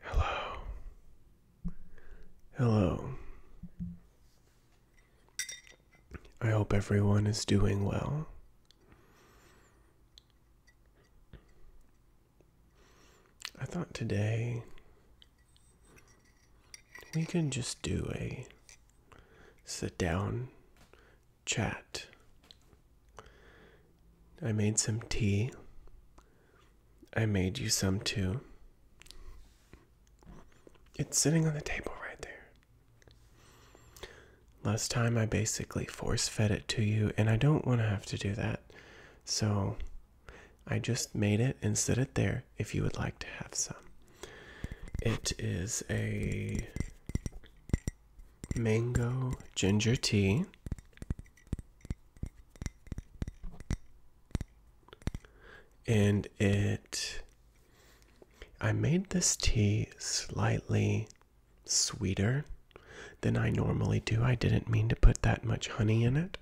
Hello. Hello. I hope everyone is doing well. I thought today we can just do a sit down chat. I made some tea. I made you some too. It's sitting on the table right there. Last time I basically force fed it to you, and I don't want to have to do that. So I just made it and set it there if you would like to have some. It is a mango ginger tea. And it, I made this tea slightly sweeter than I normally do. I didn't mean to put that much honey in it,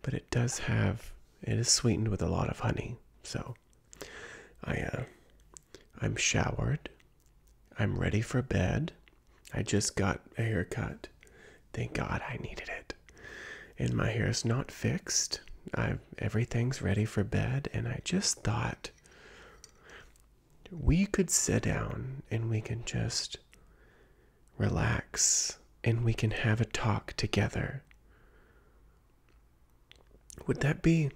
but it does have, it is sweetened with a lot of honey. So I uh, I'm showered. I'm ready for bed. I just got a haircut. Thank God I needed it. And my hair's not fixed. I everything's ready for bed and I just thought we could sit down and we can just relax and we can have a talk together. Would that be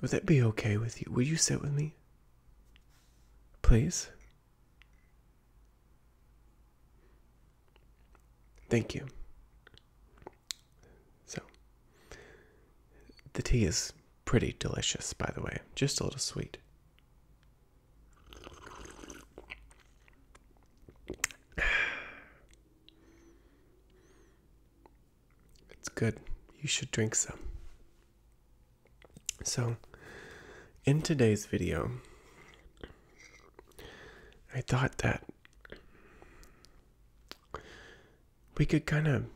would that be okay with you? Will you sit with me? Please? Thank you. So, the tea is pretty delicious, by the way, just a little sweet. It's good. You should drink some. So, in today's video, I thought that we could kind of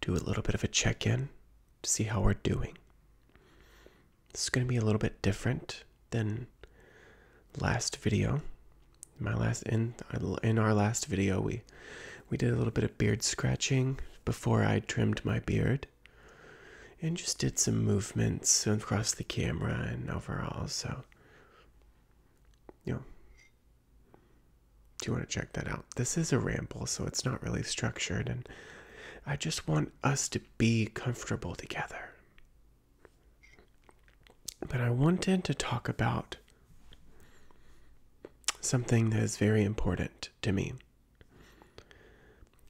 do a little bit of a check in to see how we're doing. This is going to be a little bit different than last video. My last in in our last video we we did a little bit of beard scratching before I trimmed my beard and just did some movements across the camera and overall so you know do you want to check that out this is a ramble so it's not really structured and I just want us to be comfortable together but I wanted to talk about Something that is very important to me.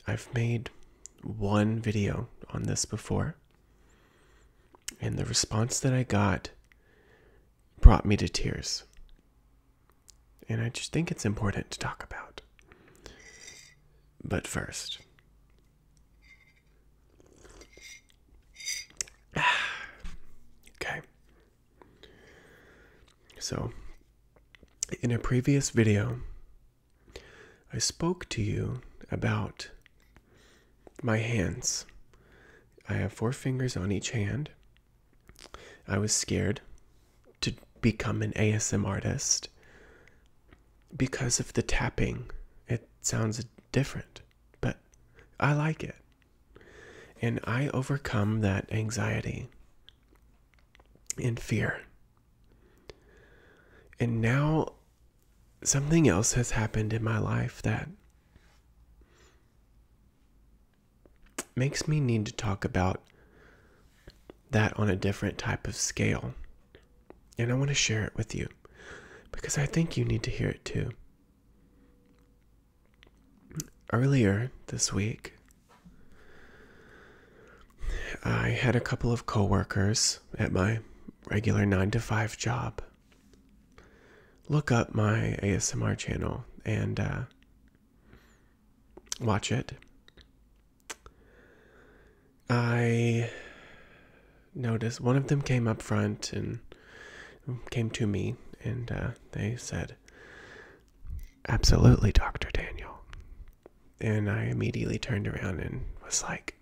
I've made one video on this before, and the response that I got brought me to tears. And I just think it's important to talk about. But first, okay, so, in a previous video, I spoke to you about my hands. I have four fingers on each hand. I was scared to become an ASM artist because of the tapping. It sounds different, but I like it. And I overcome that anxiety and fear. And now something else has happened in my life that makes me need to talk about that on a different type of scale. And I want to share it with you because I think you need to hear it too earlier this week, I had a couple of coworkers at my regular 9 to 5 job look up my ASMR channel and uh, watch it. I noticed one of them came up front and came to me and uh, they said, Absolutely, Dr. Daniel. And I immediately turned around and was like,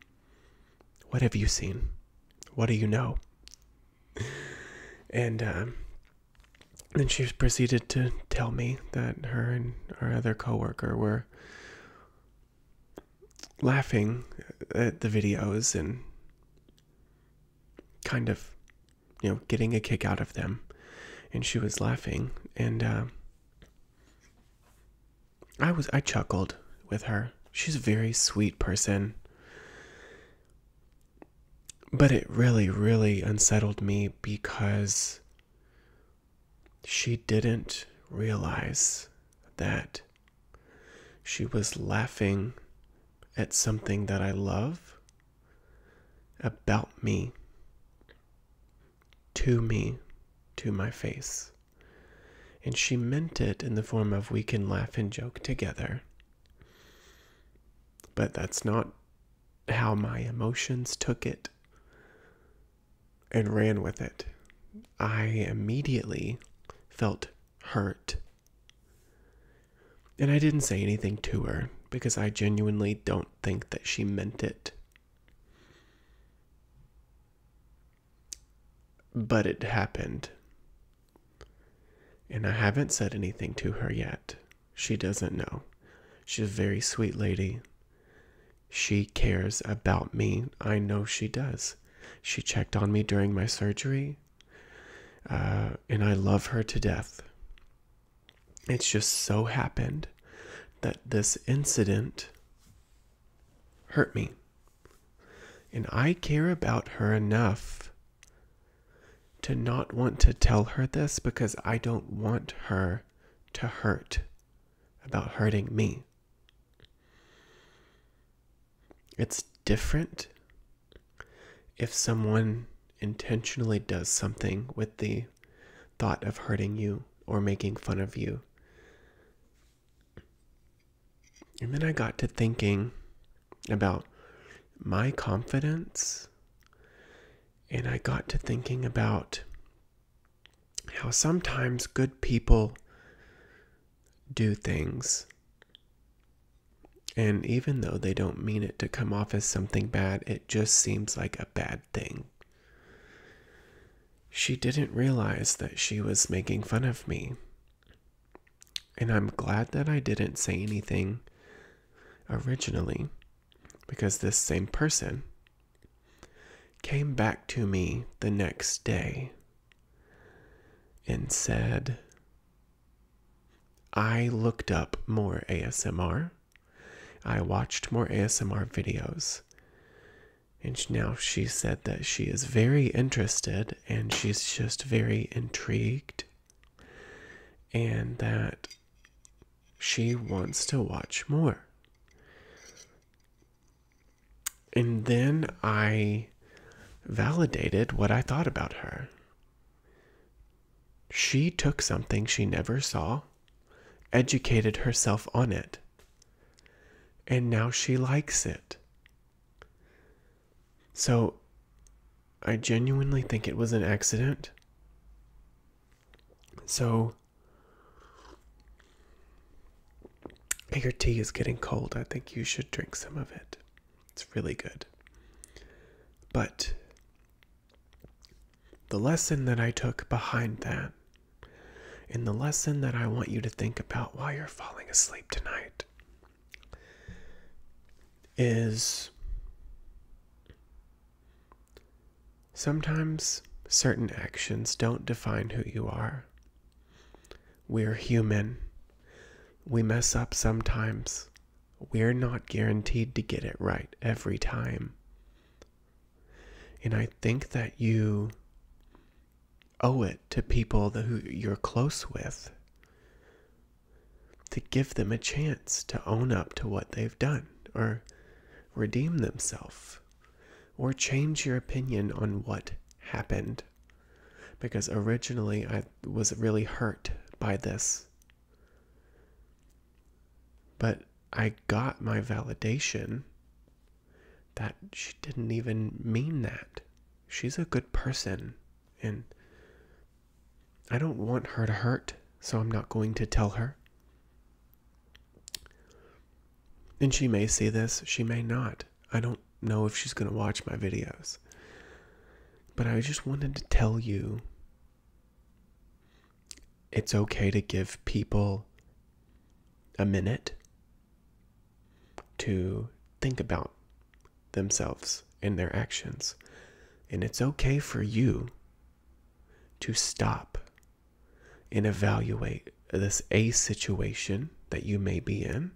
What have you seen? What do you know? And um, then she proceeded to tell me that her and her other coworker were laughing at the videos and kind of, you know, getting a kick out of them. And she was laughing. And uh, I was, I chuckled with her. She's a very sweet person. But it really, really unsettled me because she didn't realize that she was laughing at something that I love about me, to me, to my face. And she meant it in the form of we can laugh and joke together. But that's not how my emotions took it and ran with it. I immediately felt hurt and I didn't say anything to her because I genuinely don't think that she meant it. But it happened. And I haven't said anything to her yet. She doesn't know. She's a very sweet lady. She cares about me. I know she does. She checked on me during my surgery. Uh, and I love her to death. It's just so happened that this incident hurt me. And I care about her enough to not want to tell her this because I don't want her to hurt about hurting me. It's different if someone intentionally does something with the thought of hurting you or making fun of you. And then I got to thinking about my confidence. And I got to thinking about how sometimes good people do things and even though they don't mean it to come off as something bad, it just seems like a bad thing. She didn't realize that she was making fun of me. And I'm glad that I didn't say anything originally, because this same person came back to me the next day and said, I looked up more ASMR. I watched more ASMR videos. And now she said that she is very interested and she's just very intrigued. And that she wants to watch more. And then I validated what I thought about her. She took something she never saw, educated herself on it, and now she likes it. So, I genuinely think it was an accident. So, your tea is getting cold. I think you should drink some of it. It's really good. But the lesson that I took behind that, and the lesson that I want you to think about while you're falling asleep tonight, is sometimes certain actions don't define who you are. We're human. We mess up sometimes we're not guaranteed to get it right every time. And I think that you owe it to people who you're close with to give them a chance to own up to what they've done or redeem themselves or change your opinion on what happened. Because originally I was really hurt by this. But I got my validation that she didn't even mean that. She's a good person, and I don't want her to hurt, so I'm not going to tell her. And she may see this, she may not. I don't know if she's going to watch my videos. But I just wanted to tell you it's okay to give people a minute to think about themselves and their actions. And it's okay for you to stop and evaluate this A situation that you may be in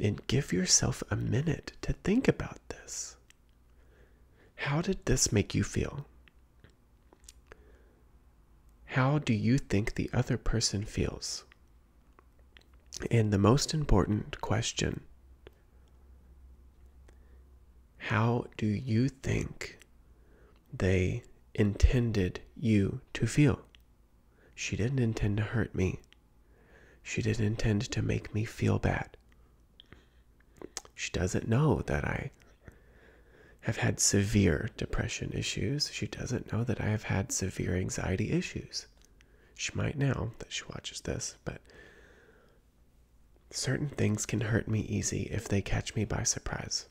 and give yourself a minute to think about this. How did this make you feel? How do you think the other person feels? And the most important question how do you think they intended you to feel? She didn't intend to hurt me. She didn't intend to make me feel bad. She doesn't know that I have had severe depression issues. She doesn't know that I have had severe anxiety issues. She might now that she watches this, but certain things can hurt me easy if they catch me by surprise.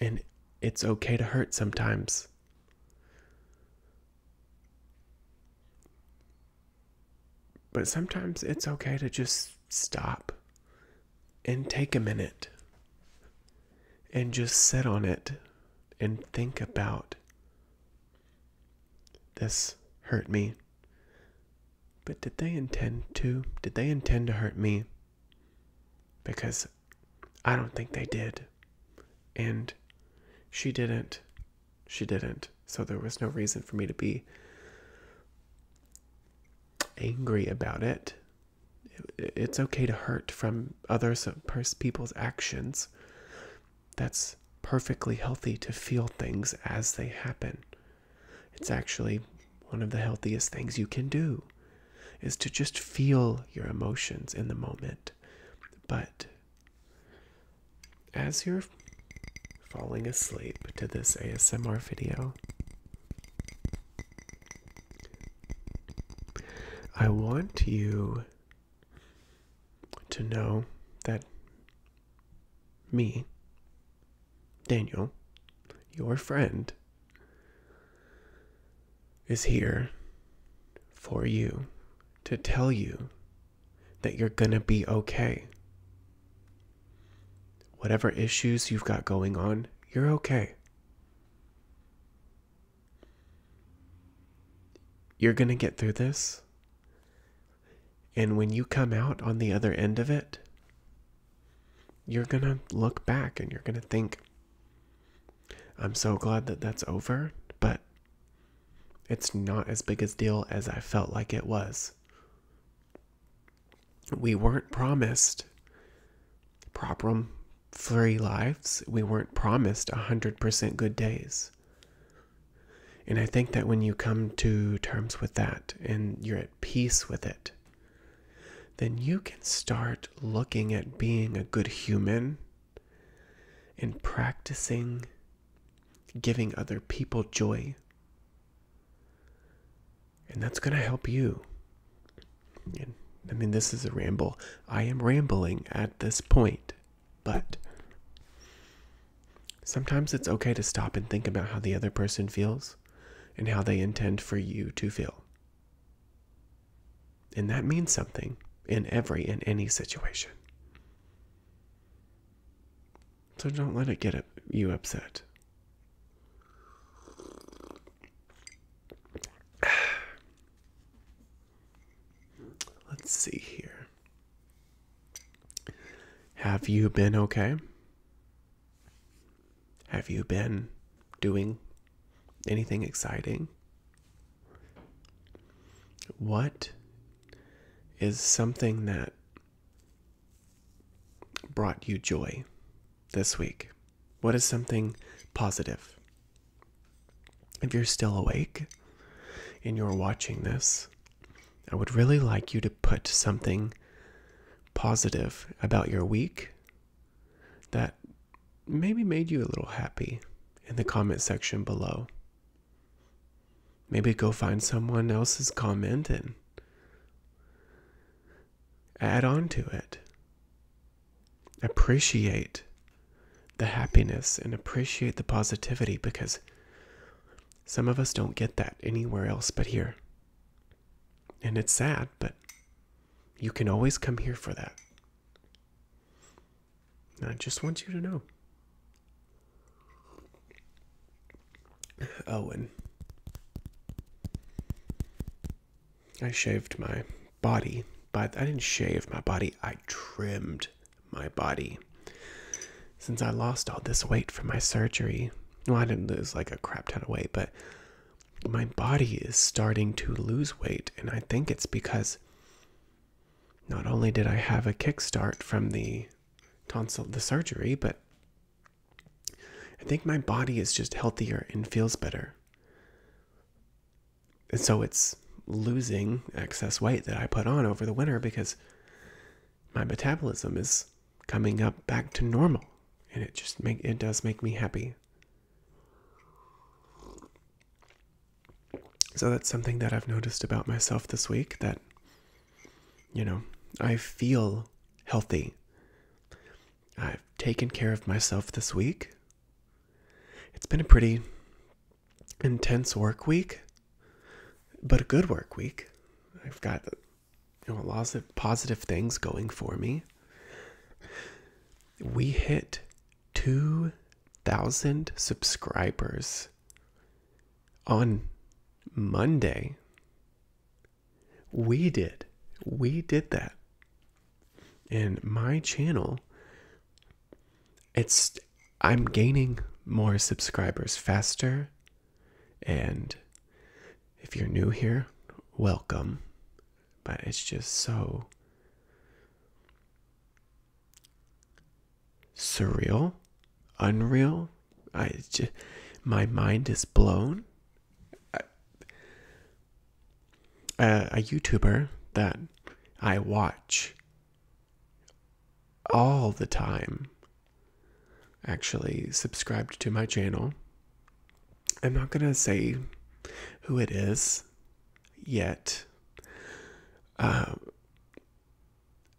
And it's okay to hurt sometimes. But sometimes it's okay to just stop and take a minute and just sit on it and think about this hurt me. But did they intend to? Did they intend to hurt me? Because I don't think they did. And she didn't. She didn't. So there was no reason for me to be angry about it. It's okay to hurt from other people's actions. That's perfectly healthy to feel things as they happen. It's actually one of the healthiest things you can do is to just feel your emotions in the moment but as you're falling asleep to this ASMR video, I want you to know that me, Daniel, your friend, is here for you to tell you that you're going to be okay. Whatever issues you've got going on, you're okay. You're going to get through this. And when you come out on the other end of it, you're going to look back and you're going to think, I'm so glad that that's over, but it's not as big a deal as I felt like it was. We weren't promised problem free lives. We weren't promised a 100% good days. And I think that when you come to terms with that and you're at peace with it, then you can start looking at being a good human in practicing giving other people joy. And that's going to help you. I mean, this is a ramble. I am rambling at this point, but sometimes it's okay to stop and think about how the other person feels and how they intend for you to feel. And that means something in every and any situation. So don't let it get you upset. Let's see here. Have you been okay? Have you been doing anything exciting? What is something that brought you joy this week? What is something positive? If you're still awake and you're watching this, I would really like you to put something positive about your week that maybe made you a little happy in the comment section below. Maybe go find someone else's comment and add on to it. Appreciate the happiness and appreciate the positivity because some of us don't get that anywhere else but here. And it's sad, but you can always come here for that. I just want you to know. Owen. I shaved my body, but I didn't shave my body, I trimmed my body. Since I lost all this weight from my surgery, well, I didn't lose like a crap ton of weight, but my body is starting to lose weight, and I think it's because not only did I have a kickstart from the tonsil the surgery, but I think my body is just healthier and feels better. And so it's losing excess weight that I put on over the winter because my metabolism is coming up back to normal and it just make it does make me happy. So that's something that I've noticed about myself this week that, you know, I feel healthy. I've taken care of myself this week. It's been a pretty intense work week, but a good work week. I've got you know, lots of positive things going for me. We hit 2,000 subscribers on Monday. We did. We did that. And my channel, it's, I'm gaining more subscribers faster. And if you're new here, welcome but it's just so surreal, unreal. I my mind is blown. A YouTuber that I watch all the time actually subscribed to my channel. I'm not going to say who it is yet. Um,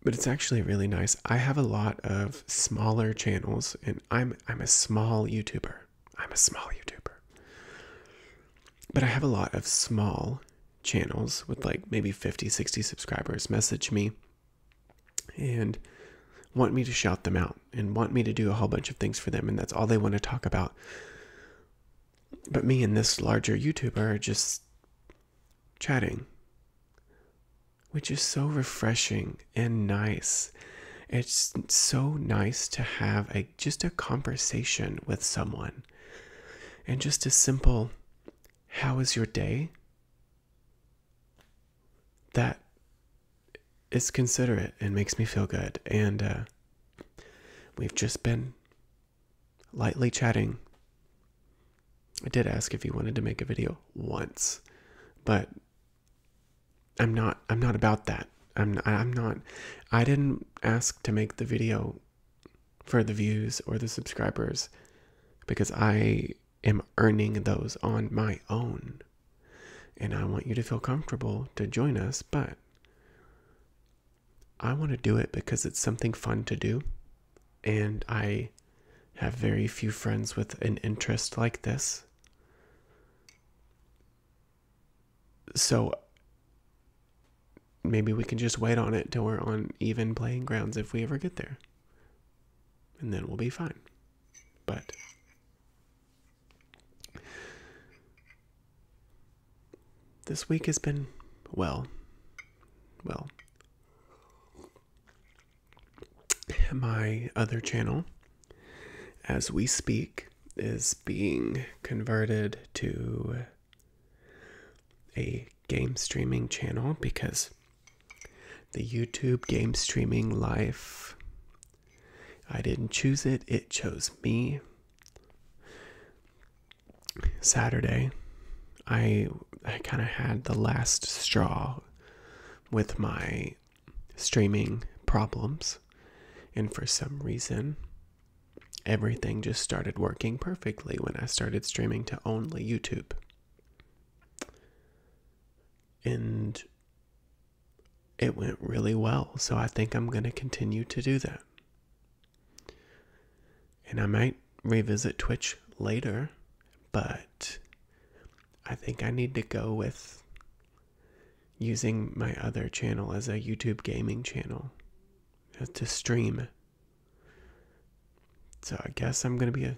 but it's actually really nice. I have a lot of smaller channels and I'm I'm a small YouTuber. I'm a small YouTuber. But I have a lot of small channels with like maybe 50, 60 subscribers message me and want me to shout them out and want me to do a whole bunch of things for them and that's all they want to talk about. But me and this larger YouTuber are just chatting, which is so refreshing and nice. It's so nice to have a just a conversation with someone. And just a simple how is your day? That is considerate and makes me feel good. And uh, we've just been lightly chatting. I did ask if he wanted to make a video once, but I'm not I'm not about that. I'm I'm not I didn't ask to make the video for the views or the subscribers because I am earning those on my own. And I want you to feel comfortable to join us, but I want to do it because it's something fun to do. And I have very few friends with an interest like this. So maybe we can just wait on it till we're on even playing grounds if we ever get there. And then we'll be fine. But this week has been, well, well. My other channel, as we speak, is being converted to a game streaming channel because the YouTube game streaming life, I didn't choose it, it chose me. Saturday, I I kind of had the last straw with my streaming problems, and for some reason, everything just started working perfectly when I started streaming to only YouTube. And it went really well, so I think I'm going to continue to do that. And I might revisit Twitch later, but I think I need to go with using my other channel as a YouTube gaming channel uh, to stream. So I guess I'm going to be a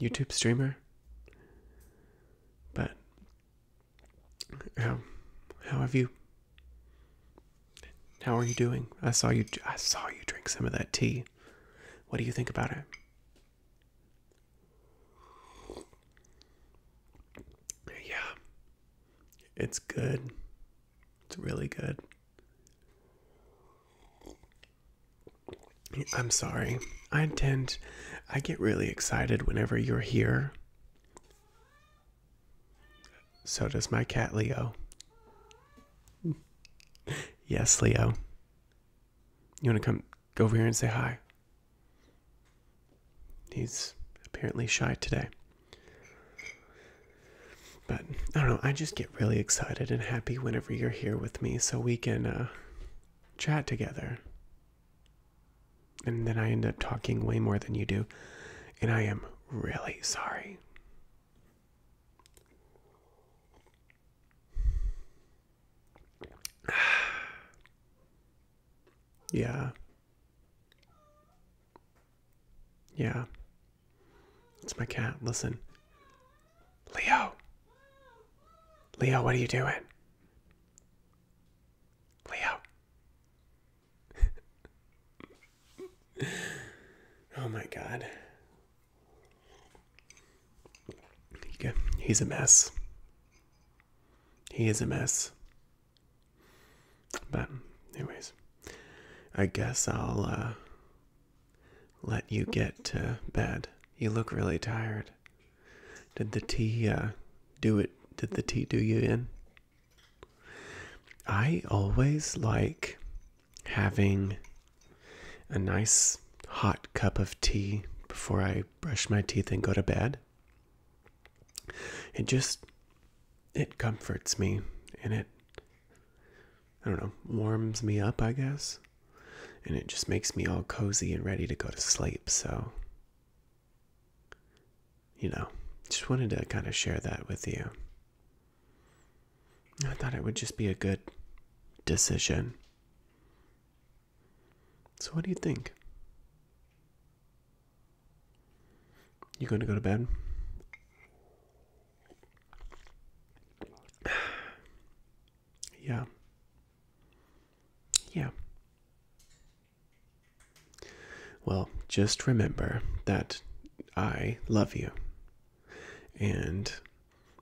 YouTube streamer. But how, how have you? How are you doing? I saw you. I saw you drink some of that tea. What do you think about it? Yeah, it's good. It's really good. I'm sorry. I tend, I get really excited whenever you're here. So does my cat, Leo. yes, Leo. You want to come go over here and say hi? He's apparently shy today. But I don't know, I just get really excited and happy whenever you're here with me so we can uh, chat together. And then I end up talking way more than you do. And I am really sorry. yeah. Yeah. It's my cat. Listen. Leo. Leo, what are you doing? Leo. oh my god. He's a mess. He is a mess. But, anyways, I guess I'll uh, let you get to bed. You look really tired. Did the tea uh, do it? Did the tea do you in? I always like having a nice hot cup of tea before I brush my teeth and go to bed. It just it comforts me and it I don't know, warms me up, I guess. And it just makes me all cozy and ready to go to sleep, so you know, just wanted to kind of share that with you. I thought it would just be a good decision. So, what do you think? You going to go to bed? yeah. Yeah. Well, just remember that I love you. And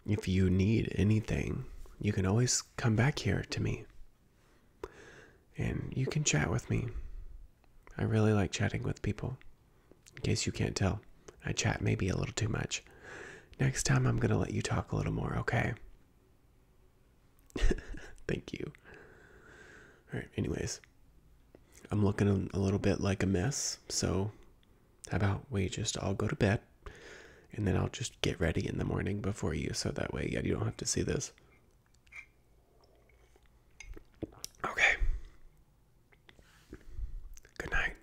if you need anything, you can always come back here to me. And you can chat with me. I really like chatting with people. In case you can't tell, I chat maybe a little too much. Next time, I'm going to let you talk a little more, okay? Thank you. All right, anyways, I'm looking a little bit like a mess, so how about we just all go to bed and then I'll just get ready in the morning before you so that way yeah, you don't have to see this. Okay. Good night.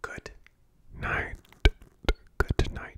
Good night. Good night.